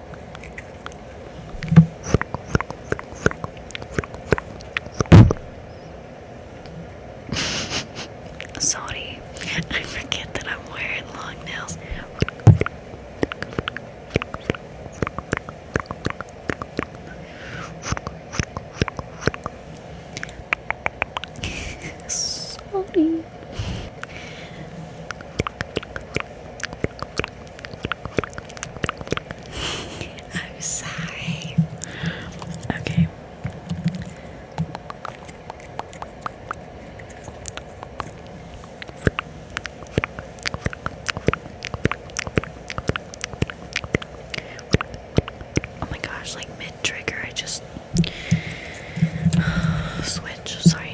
Sorry, I forget that I'm wearing long nails. Sorry. I'm sorry. Okay. Oh my gosh, like mid trigger, I just switch. Sorry,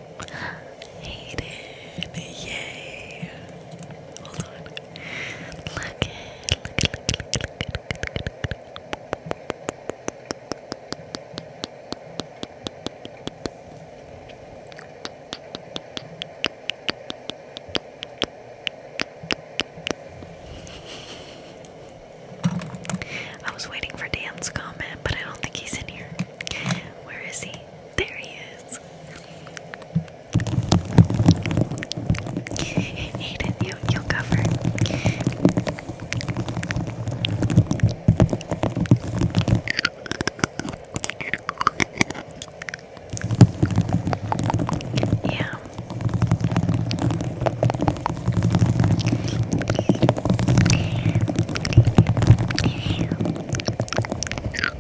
Hayden, yay! Hold on. Look it, look it, look it, look it, look it, I was waiting for Dan's comment, but I don't think he's in here. Where is he? There he is. Aiden, you, you'll cover. Yeah.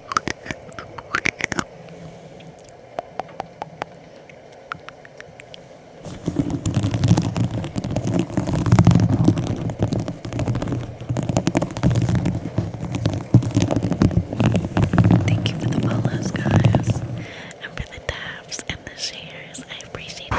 Thank you for the follows, guys, and for the taps and the shares. I appreciate it.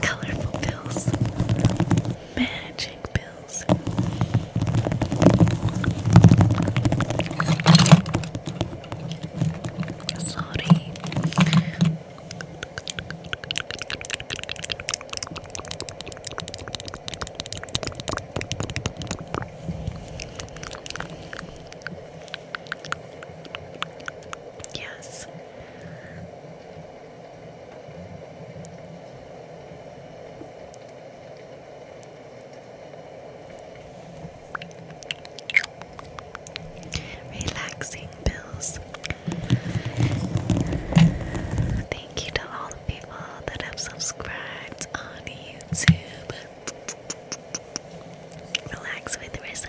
Colorful pills. Magic pills. Sorry. Yes. Relaxing pills. Thank you to all the people that have subscribed on YouTube. Relax with Risa.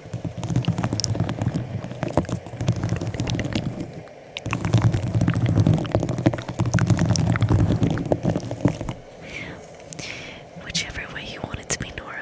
Whichever way you want it to be, Nora.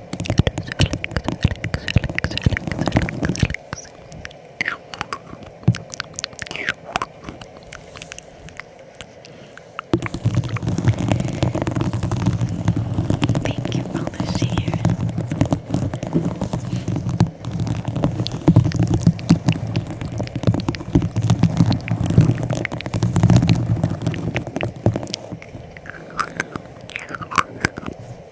Thank you for the share.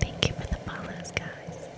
Thank you for the follows, guys.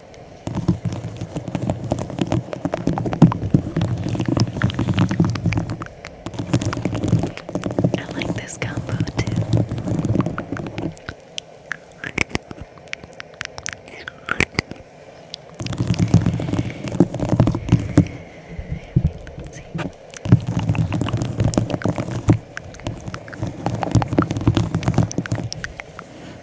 I like this combo too. See.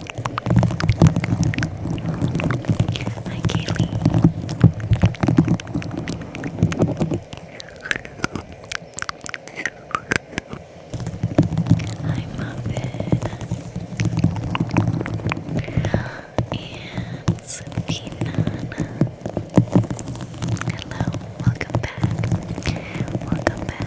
Hi, Kaylee. Hi, Muffin. And Sabina. Hello, welcome back. Welcome back.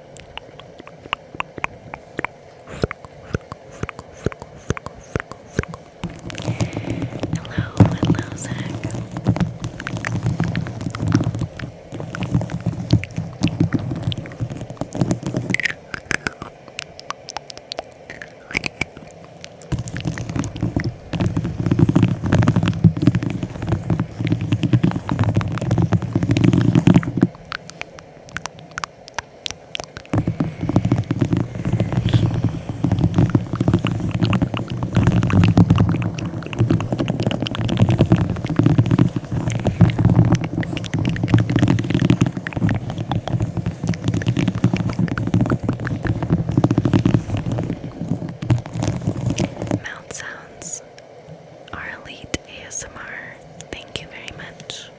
Hello, hello, Zach. Mouth sounds our elite ASMR. Thank you very much.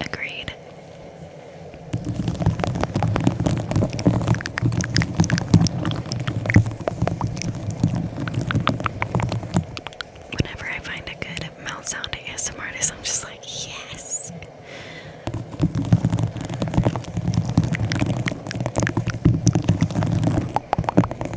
Agreed. Whenever I find a good mouth sound ASMR artist, I'm just like, yes.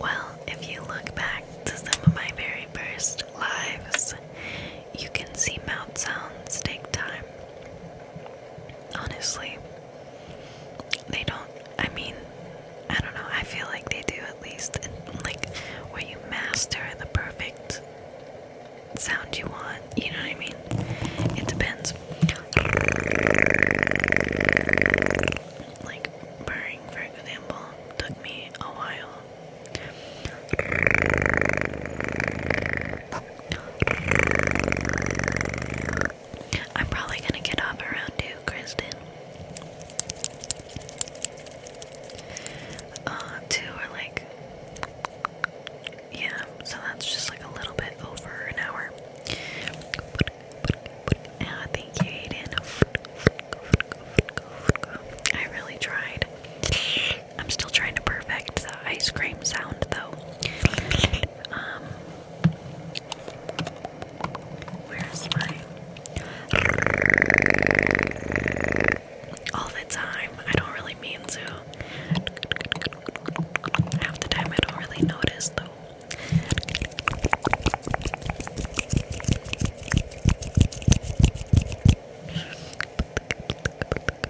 Well, if you look back to some of my very first lives, you can see mouth sounds take time. Honestly, they don't. I mean, I don't know. I feel like they do at least, and like where you master the perfect sound you want. You know what I mean? It depends. Like purring, for example, took me a while. I'm probably gonna get up around two, Kristen. Uh, two or like, yeah. So that's just like a little bit over an hour. Ah, thank you, Aiden. I really tried. I'm still trying to perfect the ice cream sound though. Um, where's my all the time? I don't really mean to. Half the time, I don't really notice though.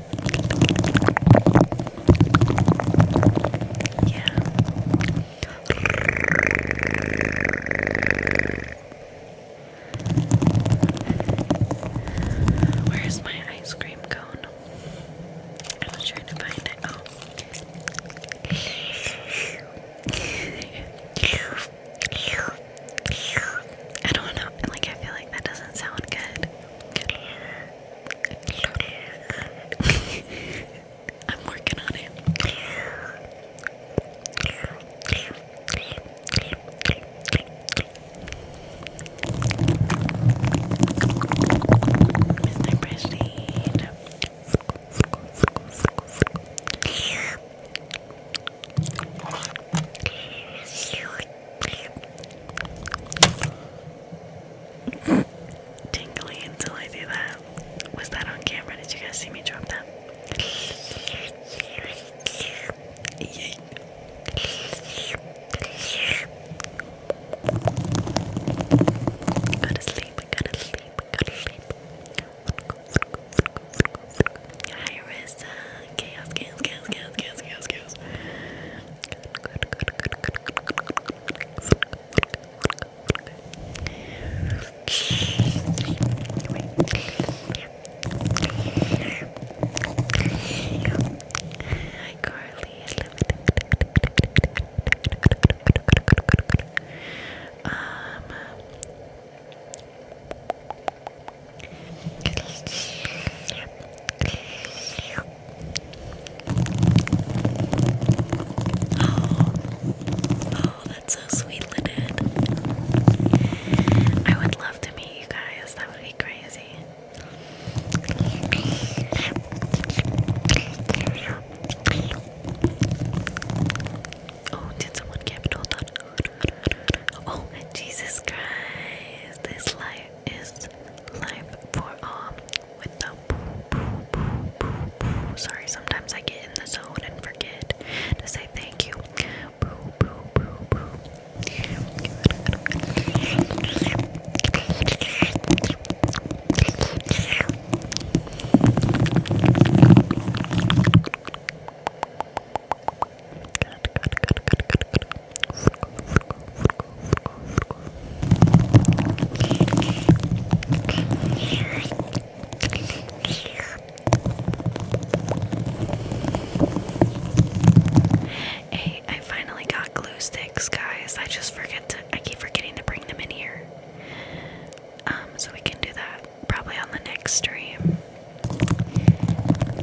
Yeah. Where's my ice cream cone? I was trying to find it. Oh. I don't know. Like I feel like that doesn't sound good. I'm working on it. Mr. Prestige. Tingly until I do that. Was that on camera? Did you guys see me drop that? Yeah. Go to sleep, go to sleep, go to sleep. Hi, Rissa. Chaos, chaos, chaos, chaos, chaos, chaos, chaos good, good, good, good. Hi, Carly. I love it. Um. Oh, oh, that's so sweet, Lynette. I would love to meet you guys. That would be crazy. Oh, did someone get hold on? Oh, Jesus Christ! This light is life for all um, with the poo, poo, poo, poo, poo. Sorry, sometimes I get in the zone and forget to say thank you. Poo, poo, poo, poo. Good, good, good, good, good, good. Hey, I finally got glue sticks, guys. I just forget to I keep forgetting to bring them in here. Um, so we can do that probably on the next stream.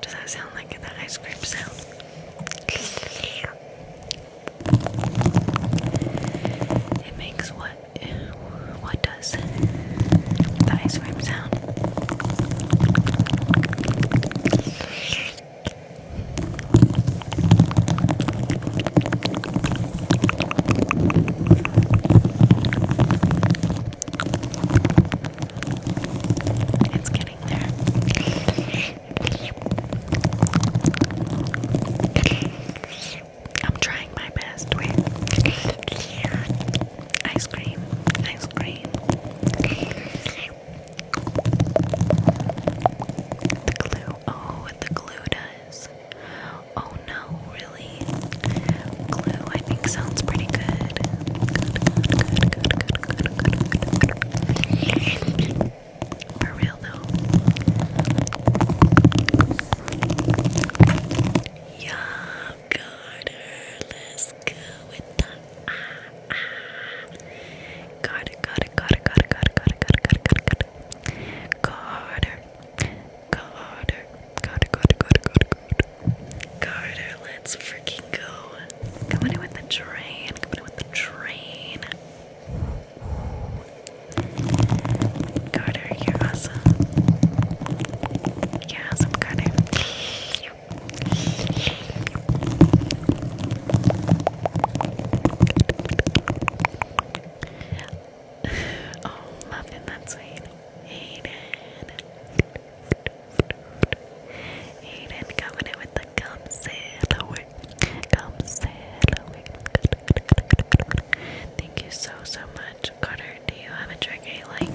Does that sound like that ice cream sound? It makes what? What does the ice cream sound? It's getting there. I'm trying my best with ice cream, ice cream. The glue, oh, the glue does. Oh no, really? Glue, I think, sounds pretty good. For real though. Yum, Carter. Let's go with the ah, ah. Carter, Carter, Carter, Carter, Carter, Carter, Carter, Carter, Carter, Carter, Carter, Carter, Carter, Carter, Carter, Carter. Let's freaking go. Coming in with the train. Coming in with the train. Carter, you're awesome. awesome, Carter. oh, muffin, that's sweet. Hayden. Aiden coming in with the come sail away. Come sail away. Thank you so so much. Carter, do you have a trigger you like?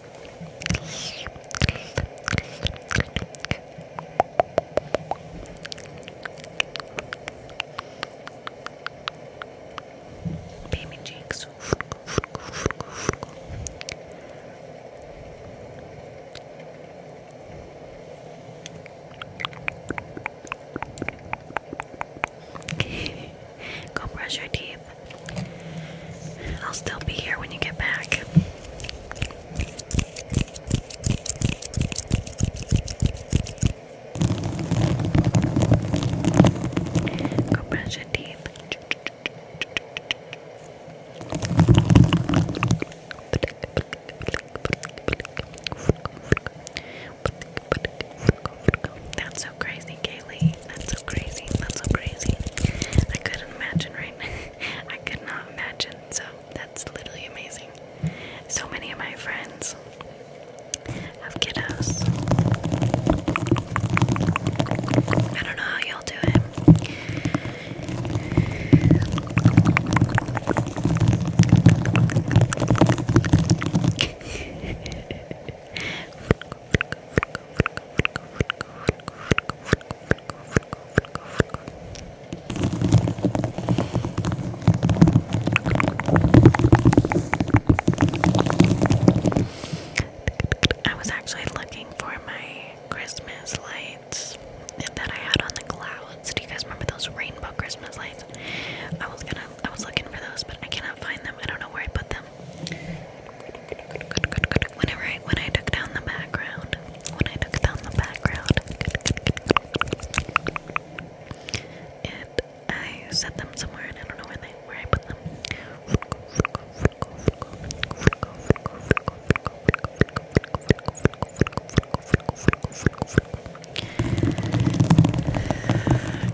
Baby cheeks. Go brush your teeth. I'll still be here when you get back. Go brush your teeth. That's so crazy, Kaylee. That's so crazy. That's so crazy. I couldn't imagine, right? I could not imagine. So that's literally amazing. So many of my friends have kiddos. I don't know how y'all do it. I was actually looking for my Christmas lights that I had on the clouds. Do you guys remember those rainbow Christmas lights? I was gonna I was looking for those, but I cannot find them. I don't know where I put them. Whenever I when I took down the background, when I took down the background, and I set them somewhere, and I don't know where I put them.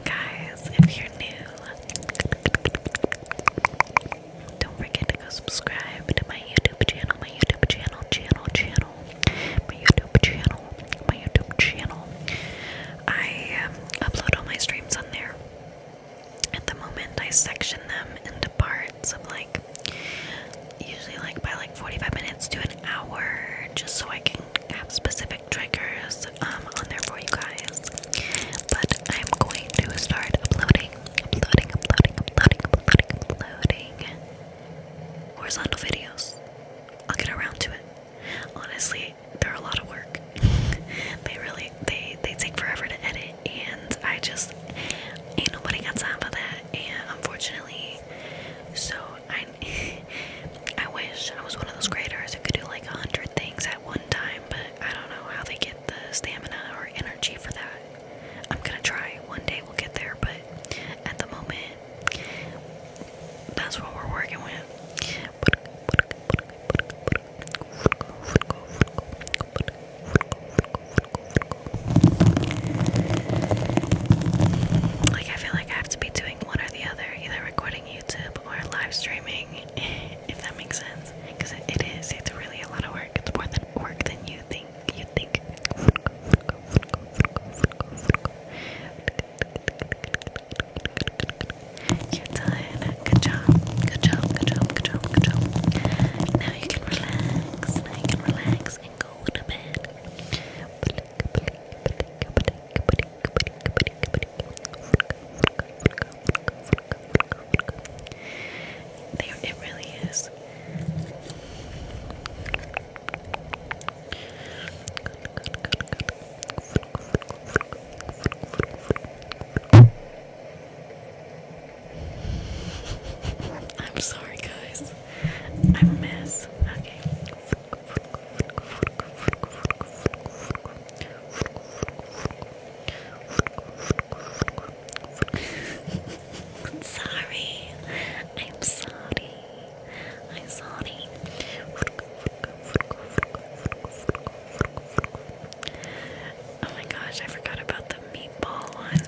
Guys, if you're new, don't forget to go subscribe to my YouTube channel, my YouTube channel, channel, channel, my YouTube channel, my YouTube channel. I um, upload all my streams on there. At the moment, I section them into parts of like usually like by like 45 minutes to an hour, just so I can have specific triggers um, on there for you guys. But I'm going to start uploading uploading, uploading, uploading, uploading, horizontal videos. I'll get around to it. Honestly, they're a lot of work. they really they they take forever to edit, and I just ain't nobody got time for that. And unfortunately, so I I wish I was one of those creators who could do like a hundred things at one time, but I don't know how they get the stamina or energy for that. I'm gonna try. One day we'll get there, but at the moment, that's what we're working with. Like, I feel like I have to be doing one or the other, either recording YouTube or live streaming if that makes sense. Because it is, it's really a lot of work. It's more than work than you think. You think. You're done. Good job. Good job. Good job. Good job. Good job. Now you can relax. Now you can relax and go to bed. There, it really is. I'm sorry, guys. I'm a mess. Okay. I'm sorry. I'm sorry. I'm sorry. Oh my gosh, I forgot about the meatball one.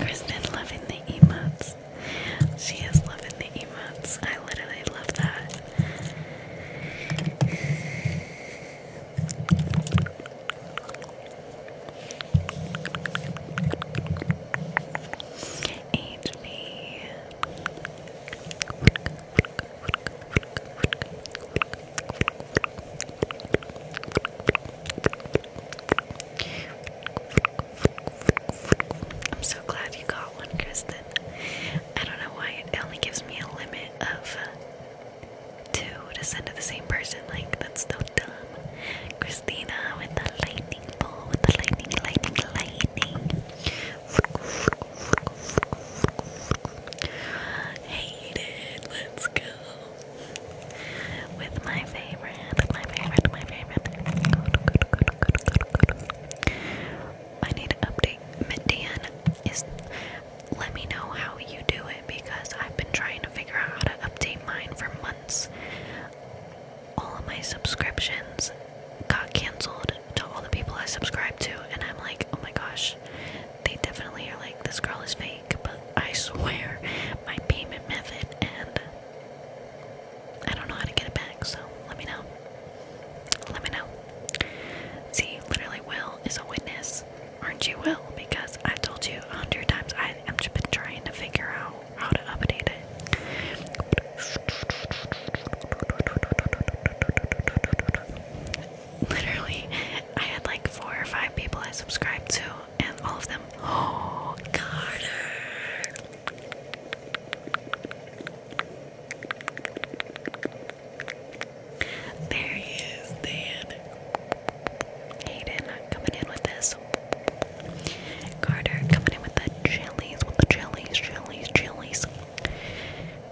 Kristen loving the emotes. She is loving the emotes. I literally love that. HB. I'm so glad you got one, Kristen. I don't know why it only gives me a limit of to send to the same person. Like that's so dumb. Christina with the lightning ball, with the lightning, lightning, lightning. Hate it. Let's go. With my favorite, my favorite, my favorite. I need to update Midian is let me know how you do it because I've been trying to figure out how to update mine for months. All of my subscriptions got canceled to all the people I subscribed to, and I'm like, oh my gosh, they definitely are like, this girl is fake, but I swear my payment method and I don't know how to get it back, so let me know. Let me know. See, literally, Will is a witness. Aren't you Will? Because I've told you a hundred times I have been trying to figure out how to update it. Literally, I had like four or five people I subscribed to, and all of them. Oh, Carter! There he is, Dan. Hayden coming in with this. Carter coming in with the chilies, with the chilies, chilies, chilies.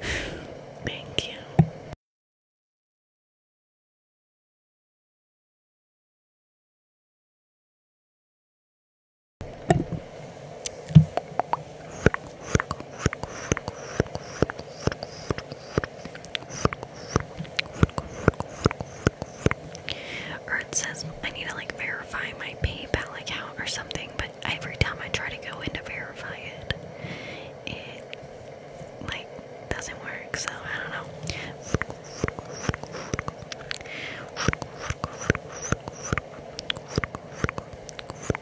Thank you it says I need to like verify my PayPal account or something, but every time I try to go in to verify it, it like doesn't work, so I don't know.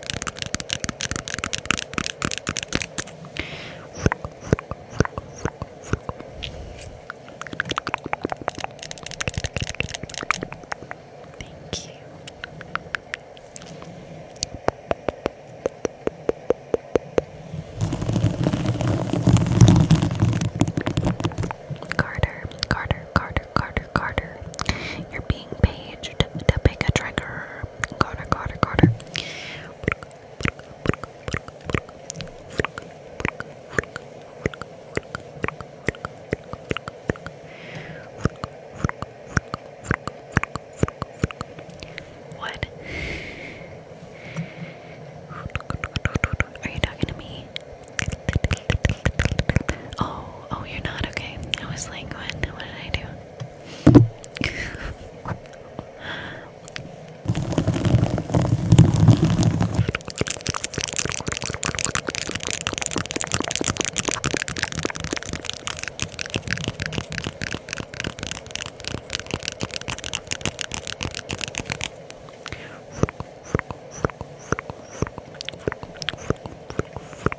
Thank you. Carter, Carter, Carter, Carter, Carter, You're being paged to pick a trigger. Carter, Carter, Carter. What? Are you talking to me? Oh, Oh, you're not okay. I was like, what? What did I do?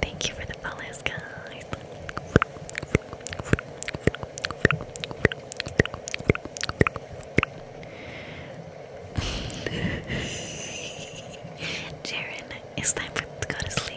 Thank you for the follows, guys. Jaren, it's time for to go to sleep.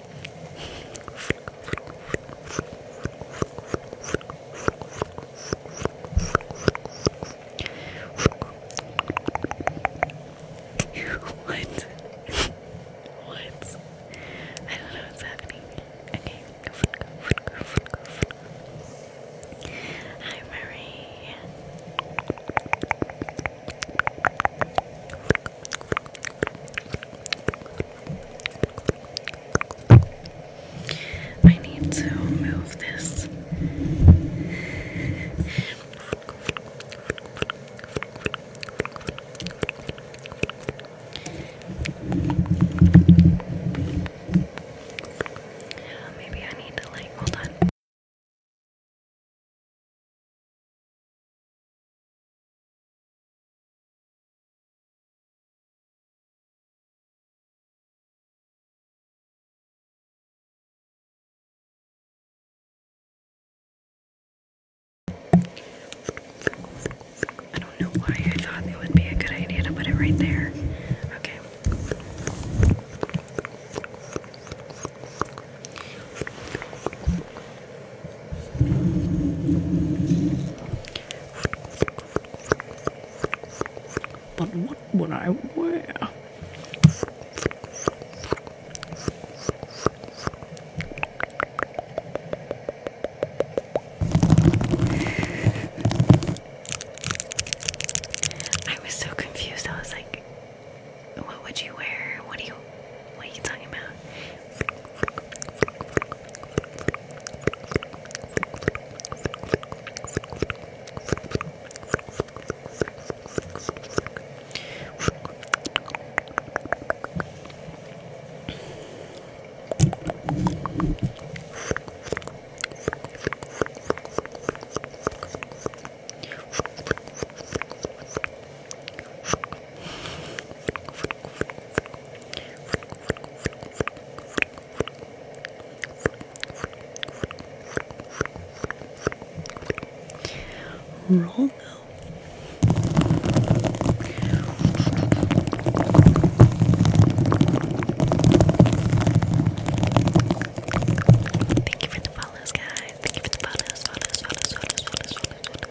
what? what? I don't know what's happening. Okay. Hi, Marie. I need to move this. Maybe I need to like hold on. I don't know why I thought it would be a good idea to put it right there. Okay. But what would I wear? I was so confused. I was like, what would you wear? What do you what are you talking about? Romo Thank you for the follows guys Thank you for the follows follows follows follows follows follows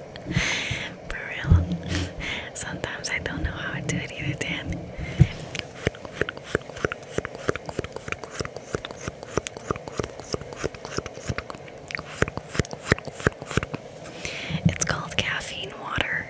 For real. Sometimes I don't know how I do it either, Dan. It's called caffeine water.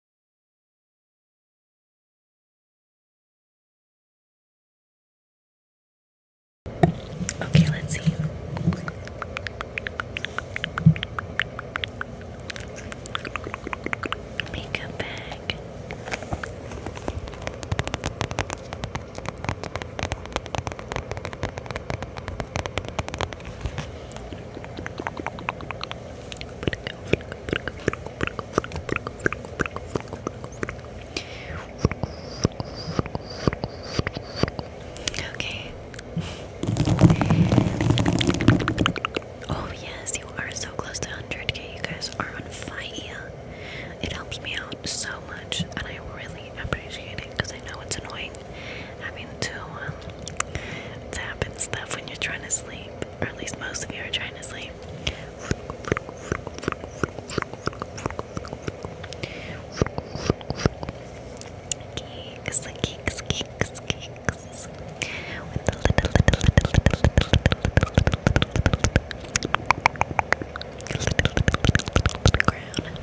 Okay, let's see. Makeup bag. Okay. Oh, yes, you are so close to 100k. You guys are on fire. It helps me out so much, and I really appreciate it because I know it's annoying having to, um, tap and stuff when you're trying to sleep, or at least most of you are trying to sleep. Cakes, cakes, cakes, cakes. With the little, little, little, little, little, little crown.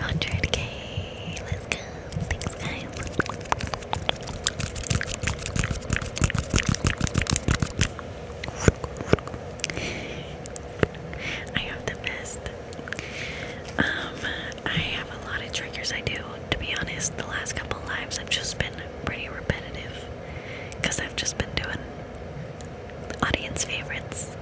Hundred K. Let's go. Thanks, guys. I have the best. Um, I have a lot of triggers I do. To be honest, the last couple lives I've just been pretty repetitive because I've just been doing audience favorites.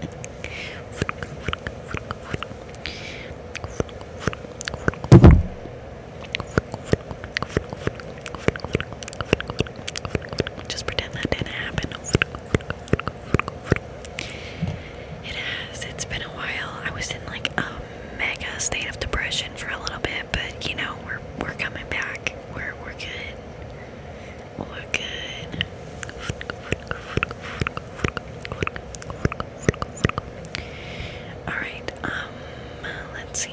Just pretend that didn't happen. It has. It's been a while. I was in like a mega state of depression for a little bit, but you know we're we're coming back. We're we're good. We're good. Alright, um, let's see.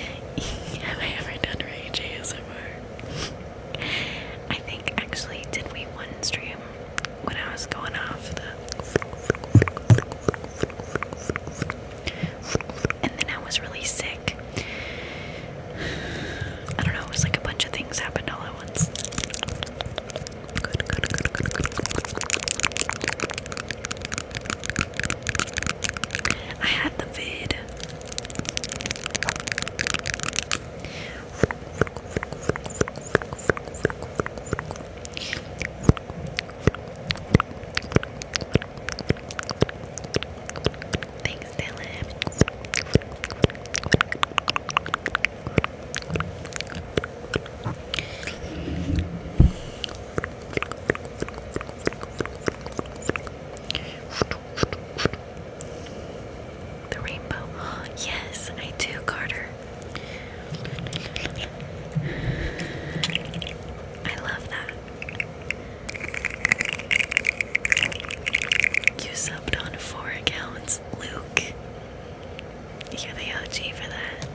Have I ever done Rage ASMR? I think actually, did we one stream when I was going off the and then I was really sick. I don't know, it was like a bunch of things happened all at once. I had the vid. Thanks, Dylan. The rainbow. Yes, I do, Carter. I love that. You subbed on four accounts, Luke. You're the OG for that.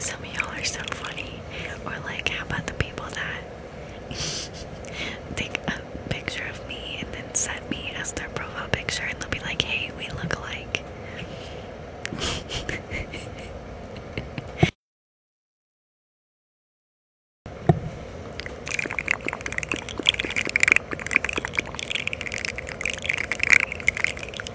Some of y'all are so funny. Or like, how about the people that take a picture of me and then set me as their profile picture and they'll be like, hey, we look alike.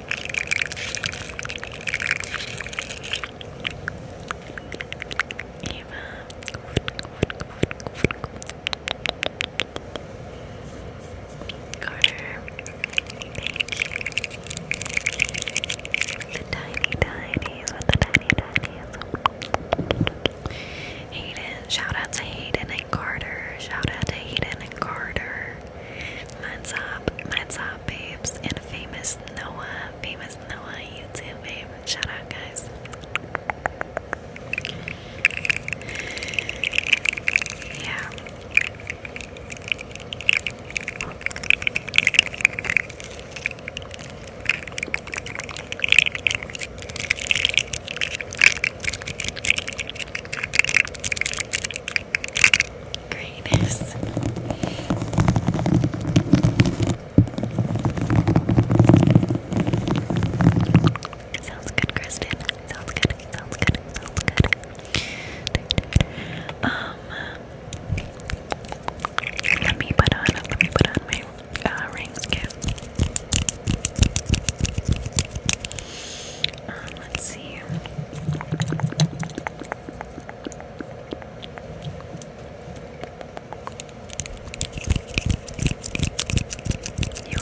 Carter, The tiny tinies the tiny tinies. Hayden, shout out to Hayden and Carter. Shout out to Hayden and Carter. What's up? What's up, babes? And famous Noah, famous Noah, YouTube babe. Shout out, guys. Yeah. Greatness. Sounds good, Kristen. Sounds good. Sounds good. Sounds good. Um, let me put on. Let me put on my uh, you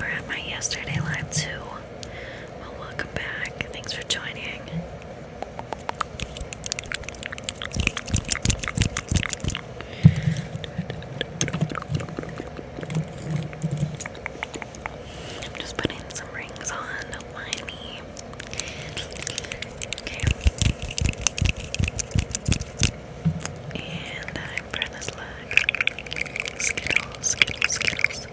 were at my yesterday live too. Well, welcome back. Thanks for joining. I'm just putting some rings on my knee. Okay. And I'm for this look. Skittles, Skittles, Skittles.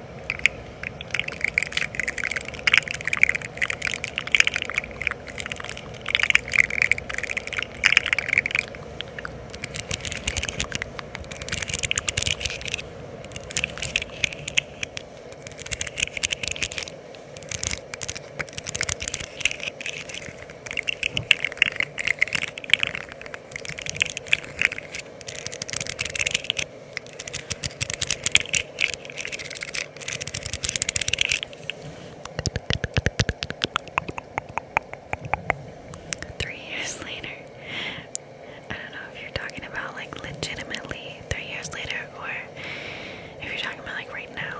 Three years later, I don't know if you're talking about like legitimately three years later or if you're talking about like right now.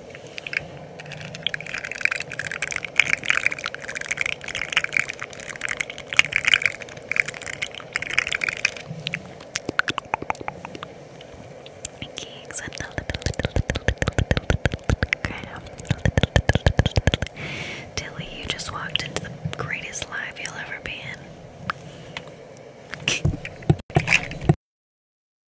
Kings and a little, little, little, little crown. Tilly, you just walked into the greatest live you'll ever be in.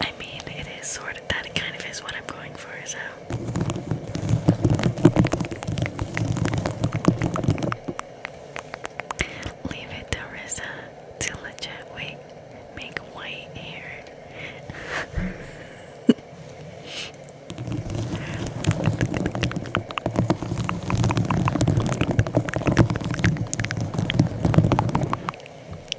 I mean, it is sort of that kind of is what I'm going for, so. Leave it to to legit make white hair.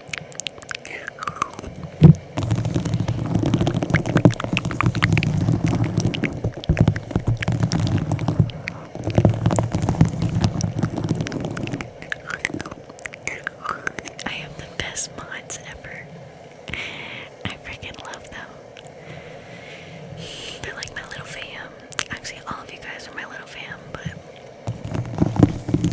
I have the best mods ever. I freaking love them. They're like my little fam. Actually, all of you guys are my little fam, but